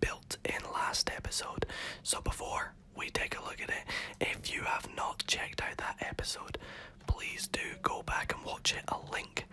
built in last episode. So before we take a look at it, if you have not checked out that episode, please do go back and watch it. A link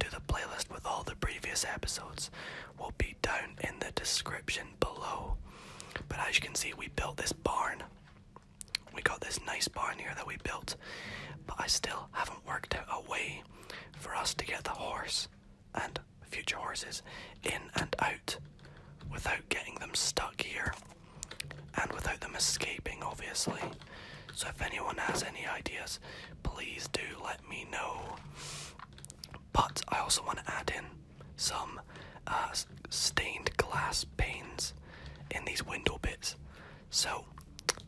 to the playlist with all the previous episodes will be down in the description below. But as you can see, we built this barn. We got this nice barn here that we built, but I still haven't worked out a way for us to get the horse and future horses in and out without getting them stuck here and without them escaping, obviously. So, if anyone has any ideas, please do let me know. But I also want to add in some uh, stained glass panes in these window bits. So,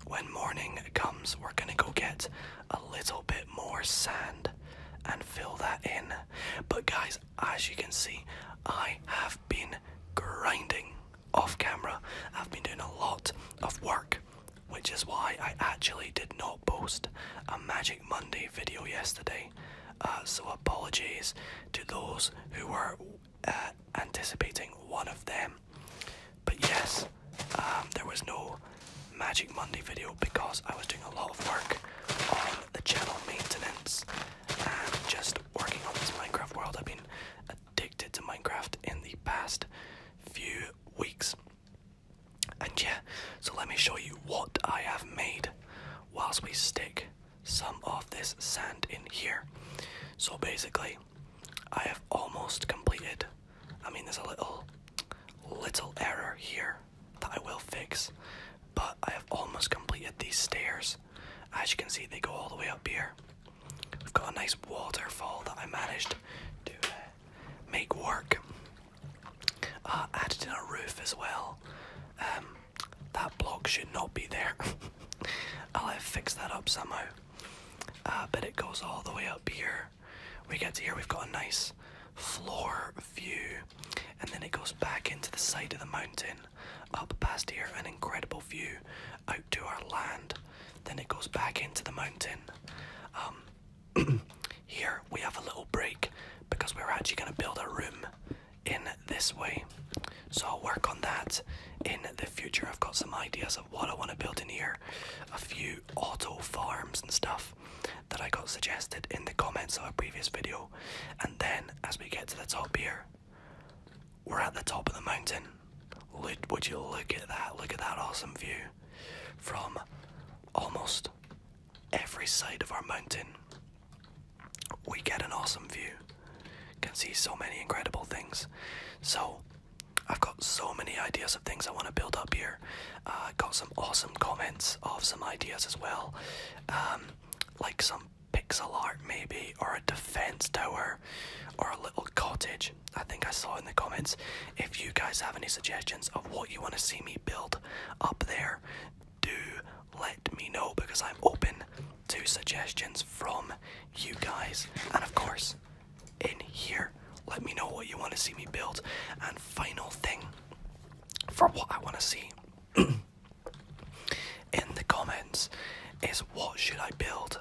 when morning comes, we're gonna go get a little bit more sand and fill that in. But guys, as you can see, I have been grinding off camera. I've been doing a lot of work, which is why I actually did not post a Magic Monday video yesterday. Uh, so, apologies to those who were uh, anticipating one of them. But yes, um, there was no Magic Monday video because I was doing a lot of work on the channel maintenance and just working on this Minecraft world. I've been addicted to Minecraft in the past few weeks. And yeah, so let me show you what I have made whilst we stick some of this sand in here. So basically, I have almost completed I mean, there's a little, little error here that I will fix, but I have almost completed these stairs. As you can see, they go all the way up here. We've got a nice waterfall that I managed to uh, make work. Uh, added in a roof as well. Um, that block should not be there. I'll have fixed that up somehow. Uh, but it goes all the way up here. We get to here, we've got a nice floor view, and then it goes back into the side of the mountain, up past here, an incredible view out to our land. Then it goes back into the mountain. Um, here we have a little break because we're actually going to build a room in this way. So I'll work on that in the future. I've got some ideas of what I want to build in here, a few auto farms and stuff that I got suggested in the comments of a previous video. And then as we get to the top here, we're at the top of the mountain. Look, would you look at that? Look at that awesome view from almost every side of our mountain. We get an awesome view. Can see so many incredible things. So I've got so many ideas of things I want to build up here. Uh, uh, got some awesome comments of some ideas as well, um, like some pixel art maybe, or a defense tower, or a little cottage. I think I saw in the comments. If you guys have any suggestions of what you want to see me build up there, do let me know because I'm open to suggestions from you guys. And of course, in here let me know what you want to see me build. And final thing for what I want to see in the comments is what should I build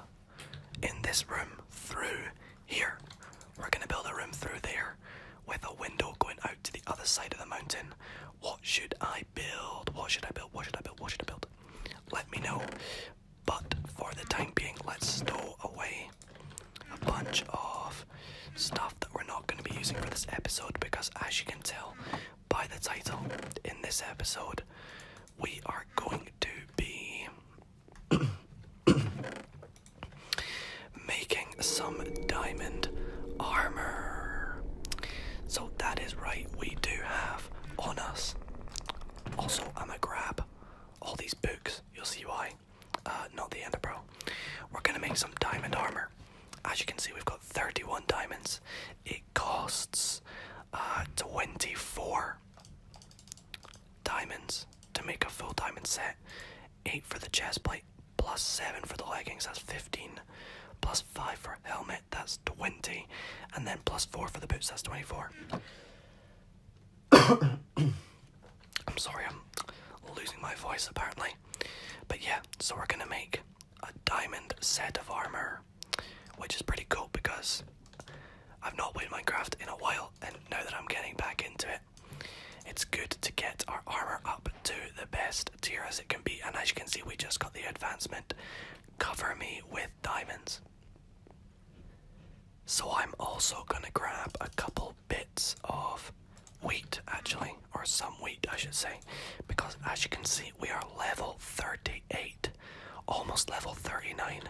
in this room through here? We're going to build a room through there with a window going out to the other side of the mountain. What should I build? What should I build? What should I build? What should I build? Let me know. But for the time being, let's stow away a bunch of stuff that we're not going to be using for this episode because, as you can tell by the title, in this episode we are going to be making some diamond armor. So, that is right, we do have on us. Also, I'm gonna grab all these books, you'll see why. Uh, not the end bro. We're gonna make some diamond armor. As you can see, we've got 31 diamonds. It costs uh, 24 diamonds to make a full diamond set. 8 for the chest plate, plus 7 for the leggings, that's 15. Plus 5 for helmet, that's 20. And then plus 4 for the boots, that's 24. I'm sorry, I'm losing my voice apparently. But yeah, so we're gonna make a diamond set of armor, which is pretty cool because I've not played Minecraft in a while, and now that I'm getting back into it, it's good to get our armor up to the best tier as it can be. And as you can see, we just got the advancement cover me with diamonds. So I'm also gonna grab a couple bits of wheat, actually, or some wheat, I should say, because as you can see, we are level 38, almost level 39,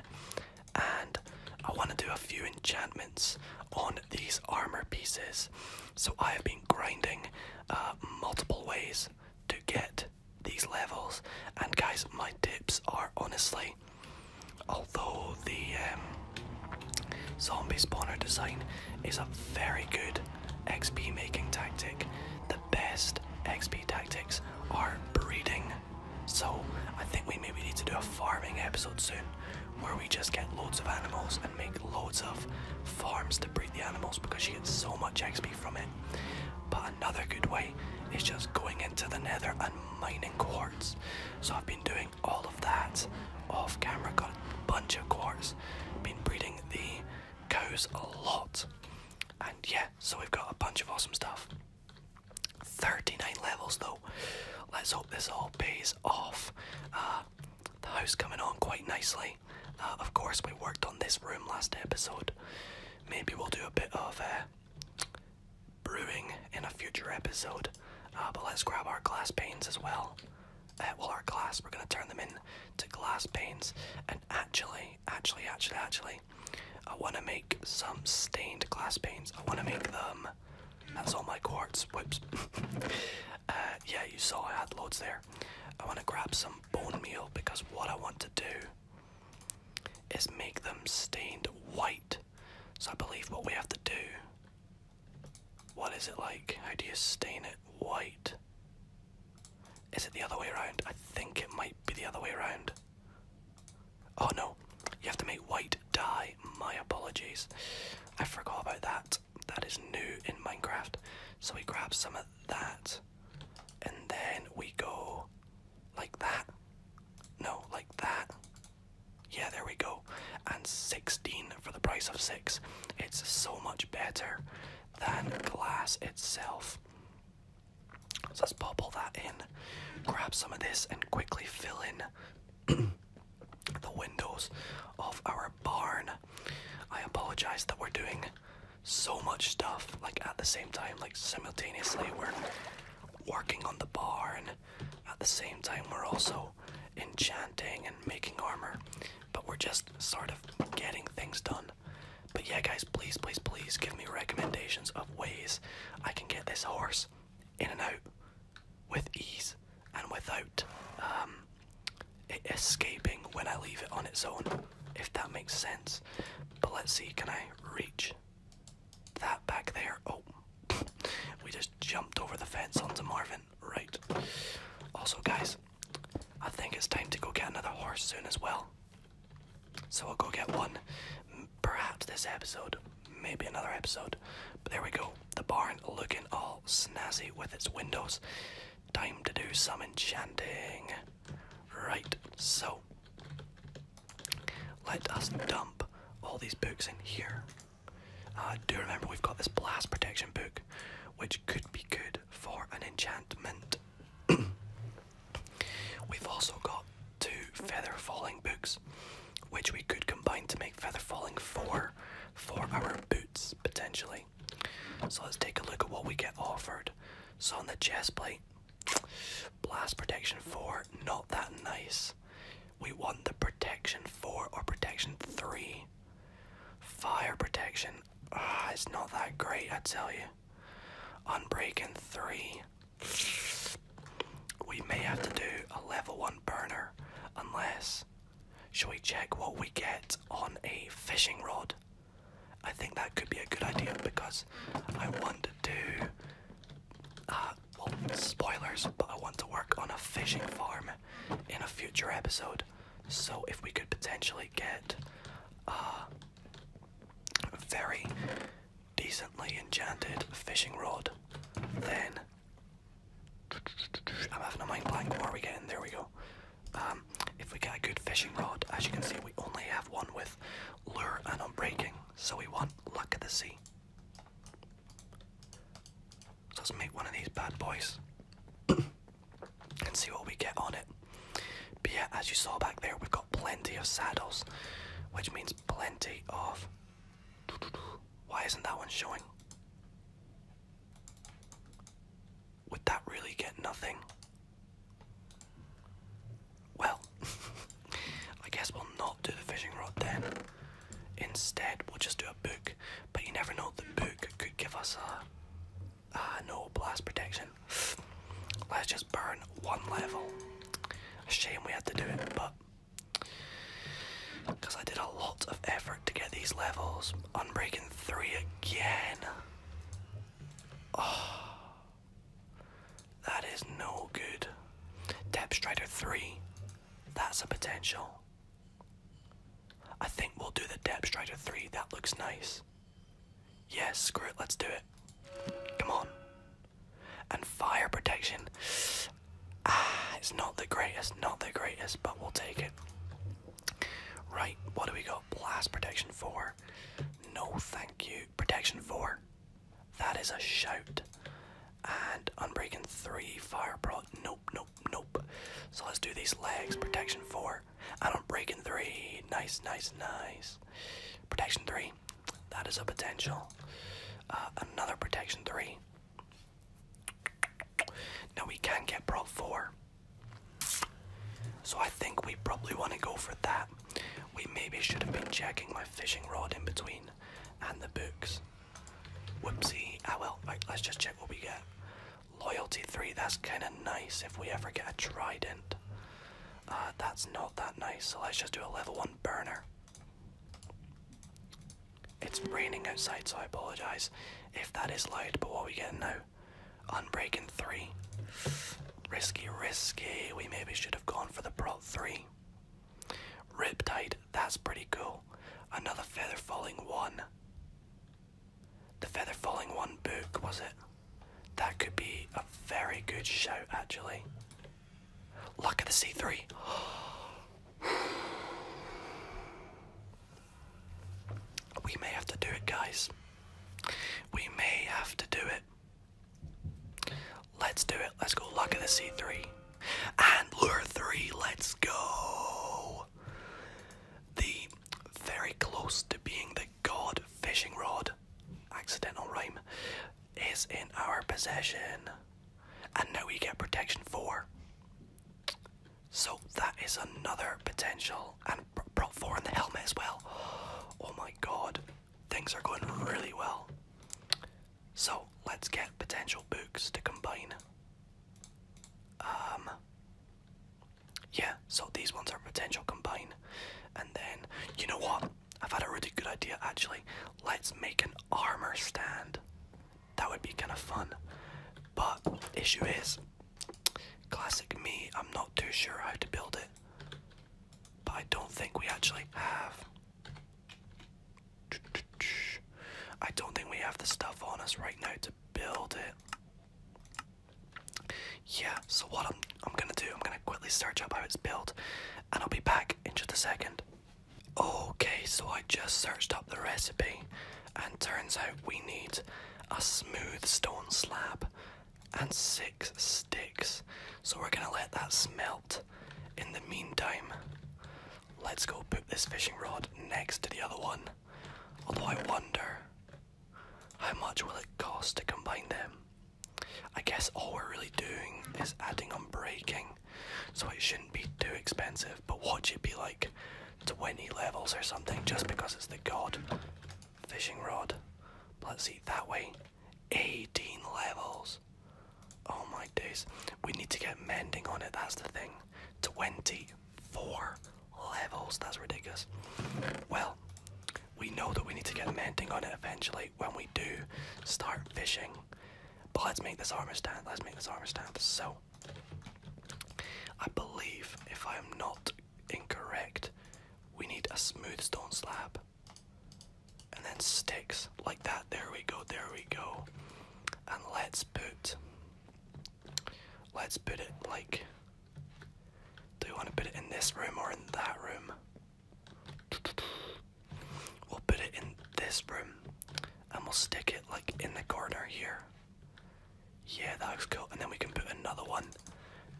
and I want to do a few enchantments on these armor pieces. So I have been grinding uh, multiple ways to get these levels, and guys, my tips are honestly although the um, zombie spawner design is a very good XP making tactic, the best XP tactics are breeding. So I think we maybe need to do a farming episode soon where we just get loads of animals and make loads of farms to breed the animals because you get so much XP from it. But another good way is just going into the nether and mining quartz. So I've been doing all of that off camera. Got a bunch of quarters. Been breeding the cows a lot. And yeah, so we've got a bunch of awesome stuff. 39 levels though. Let's hope this all pays off. Uh, the house coming on quite nicely. Uh, of course, we worked on this room last episode. Maybe we'll do a bit of uh, brewing in a future episode. Uh, but let's grab our glass panes as well. Uh, well, our glass, we're going to turn them into glass panes. And actually, actually, actually, actually, I want to make some stained glass panes. I want to make them. That's all my quartz. Whoops. Uh, yeah, you saw I had loads there. I want to grab some bone meal because what I want to do is make them stained white. So I believe what we have to do what is it like? How do you stain it white? Is it the other way around? I think it might be the other way around. Oh no, you have to make white dye. My apologies. I forgot about that. That is new in Minecraft. So we grab some of that and then we go like that. No, like that. Yeah, there we go. And 16 for the price of 6. It's so much better than glass itself. So let's pop all that in, grab some of this, and quickly fill in the windows of our barn. I apologize that we're doing so much stuff like at the same time, like simultaneously. We're working on the barn, at the same time, we're also enchanting and making armor, but we're just sort of getting things done. But yeah, guys, please, please, please give me recommendations of ways I can get this horse in and out with ease and without um, it escaping when I leave it on its own, if that makes sense. But let's see, can I reach that back there? Oh, we just jumped over the fence onto Marvin right. Also, guys, I think it's time to go get another horse soon as well. So we'll go get one, perhaps this episode, maybe another episode. But there we go. The barn looking all snazzy with its windows. Time to do some enchanting. Right, so let us dump all these books in here do remember we've got this blast protection book, which could be good for an enchantment. we've also got two feather falling books, which we could combine to make feather falling four for our boots potentially. So let's take a look at what we get offered. So on the chest plate, blast protection four, not that nice. We want the protection 4 or protection 3. Fire protection, ah, it's not that great, I tell you. Unbreaking 3. We may have to do a level 1 burner, unless. Shall we check what we get on a fishing rod? I think that could be a good idea because I want to do. Uh, well, spoilers, but I want to work on a fishing farm in a future episode. So if we could potentially get a uh, very decently enchanted fishing rod, then I'm having a mind blank. What are we getting? There we go. Um, if we get a good fishing rod, as you can see, we only have one with lure and unbreaking, so we want luck at the sea. So let's make one of these bad boys and see what we get on it. But yeah, as you saw back there, we've got plenty of saddles, which means plenty of. Why isn't that one showing? Would that really get nothing? Well, I guess we'll not do the fishing rod then. Instead, we'll just do a book. But you never know, the book could give us a. no, blast protection. Let's just burn one level. Shame we had to do it, but. Because I did a lot of effort to get these levels. Unbreaking 3 again. Oh. That is no good. Depth Strider 3. That's a potential. I think we'll do the depth strider 3. That looks nice. Yes, screw it. Let's do it. Come on. And fire protection. Ah, it's not the greatest. Not the greatest, but we'll take it. Right, what do we got? Blast protection 4. No, thank you. Protection 4. That is a shout. And Unbreaking 3, Fire Prod. Nope, nope, Nope. So let's do these legs. Protection four. I don't break in three. Nice, nice, nice. Protection three. That is a potential. Uh, another protection three. Now we can get prop four. So I think we probably want to go for that. We maybe should have been checking my fishing rod in between and the books. Whoopsie. Ah well, let's just check what we get. Loyalty 3, that's kind of nice if we ever get a trident. Uh, that's not that nice, so let's just do a level 1 burner. It's raining outside, so I apologise if that is light. but what are we getting now? Unbreaking 3. Risky, risky. We maybe should have gone for the prop 3. Riptide that's pretty cool. Another Feather Falling 1. The Feather Falling 1 book, was it? That could be a very good show actually. Luck of the C3. we may have to do it, guys. We may have to do it. Let's do it. Let's go. Luck of the C3. And Lure 3. Let's go the very close to being the god fishing rod accidental rhyme is in our possession and now we get protection 4 so that is another potential and brought 4 in the helmet as well oh my god things are going really well so let's get potential books to combine um, yeah, so these ones are potential combine. And then, you know what? I've had a really good idea actually. Let's make an armor stand. That would be kind of fun. But, issue is, classic me, I'm not too sure how to build it. But I don't think we actually have. I don't think we have the stuff on us right now to build it. Yeah, so what I'm I'm gonna do, I'm gonna quickly search up how it's built and I'll be back in just a second. Okay, so I just searched up the recipe and turns out we need a smooth stone slab and six sticks. So we're gonna let that smelt. In the meantime, let's go put this fishing rod next to the other one Although I wonder how much will it cost to combine them. I guess all we're really doing is adding on breaking, so it shouldn't be too expensive. But watch it be like to 20 levels or something just because it's the god fishing rod. let's see, that way 18 levels. Oh my days, we need to get mending on it, that's the thing. 20 Four levels. That's ridiculous. Well, we know that we need to get mending on it eventually when we do start fishing. But let's make this armor stand. Let's make this armor stand. So, I believe, if I am not incorrect, we need a smooth stone slab. And then sticks like that. There we go. There we go. And let's boot. Let's put it like. Do you want to put it in this room or in that room? We'll put it in this room and we'll stick it like in the corner here. Yeah, that looks cool. And then we can put another one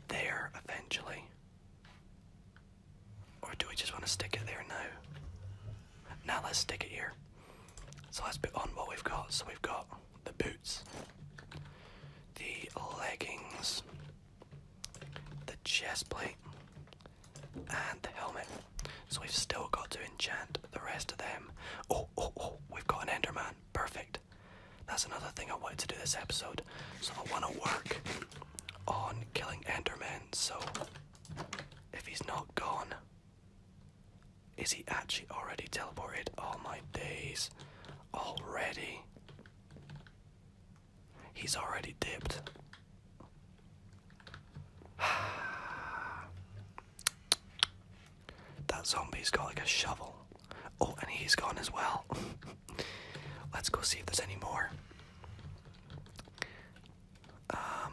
there eventually. Or do we just want to stick it there now? Now let's stick it here. So let's put on what we've got. So we've got the boots, the leggings, the chest plate, and the helmet. So we've still got to enchant the rest of them. Oh, oh, oh, we've got an Enderman. Perfect. That's another thing I wanted to do this episode. So I want to work on killing Enderman. So if he's not gone, is he actually already teleported? All oh, my days. Already. He's already dipped. that zombie's got like a shovel. Oh, and he's gone as well. Let's go see if there's any more. Um,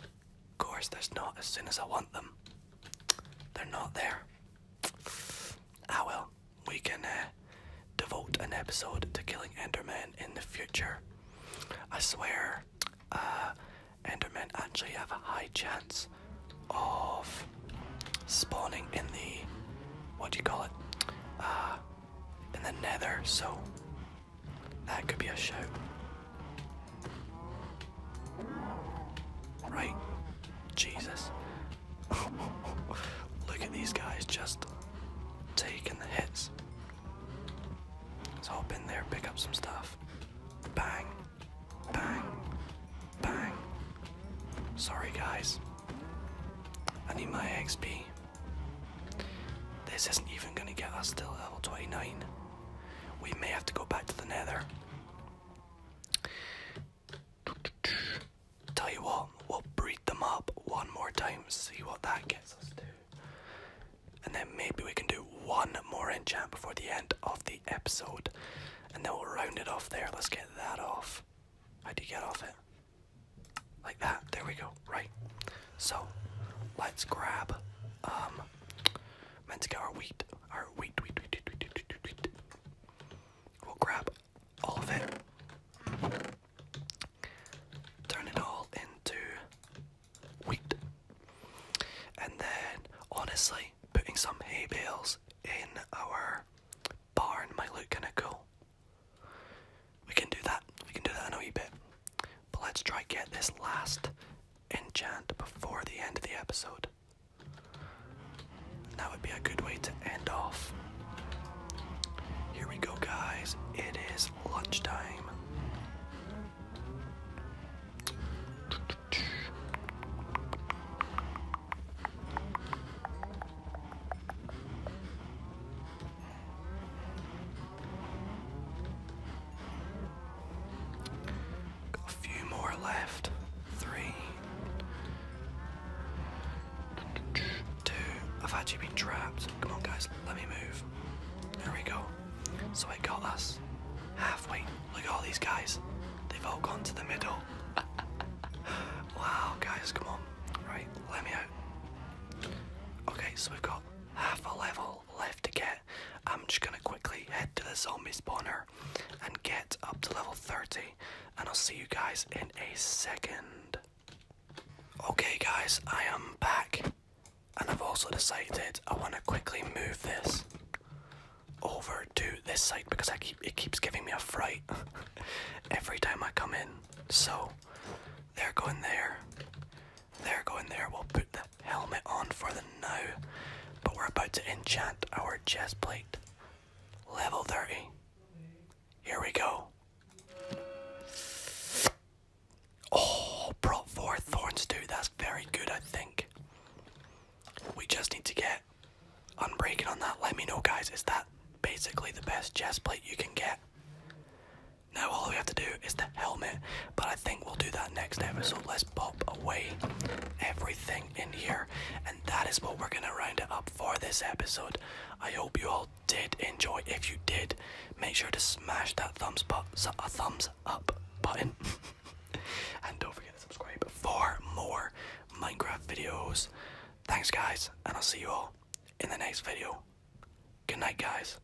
Of course, there's not. As soon as I want them, they're not there. I ah, will. we can uh, devote an episode to killing Endermen in the future. I swear, uh, Endermen actually have a high chance of spawning in the what do you call it? Uh, in the Nether. So that could be a show, Right. Jesus. Look at these guys just taking the hits. Let's hop in there, pick up some stuff. Bang. Bang. Bang. Sorry, guys. I need my XP. This isn't even going to get us to level 29. We may have to go back to the nether. Tell you what, we'll breed them up one more time, see what that gets us to. And then maybe we can do one more enchant before the end of the episode. And then we'll round it off there. Let's get that off. How do you get off it? Like that. There we go right? So let's grab um meant to get our wheat. Our wheat, wheat, wheat, wheat, wheat, wheat, wheat. We'll grab all of it. Turn it all into wheat. And then honestly, putting some hay bales in our barn might look kinda cool. We can do that. We can do that in a wee bit. But let's try get this last enchant before the end of the episode. That would be a good way to end off. Here we go, guys. It is lunchtime. Got a few more left. Three. Two. I've actually been trapped. Come on, guys. Let me move. There we go. So it got us halfway. Look at all these guys. They've all gone to the middle. wow, guys. Come on. Right. Let me out. Okay, so we've got half a level left to get. I'm just gonna quickly head to the zombie spawner and get up to level 30, and I'll see you guys in a second. Okay, guys, I am back, and I've also decided I want to quickly move this over to this side because I keep it keeps giving me a fright every time I come in. So they're going there. They're going there. We'll put the helmet on for the now. But we're about to enchant our chest plate. Level 30. Here we go. Oh, brought four thorns too. That's very good, I think. We just need to get unbreaking on that. Let me know, guys. Is that basically the best chest plate you can get? Now all we have to do is the helmet, but I think we'll do that next episode. Let's pop away everything in here, and that is what we're gonna round it up for this episode. I hope you all did enjoy. If you did, make sure to smash that thumbs up, a thumbs up button, and don't forget to subscribe for more Minecraft videos. Thanks, guys, and I'll see you all in the next video. Good night, guys.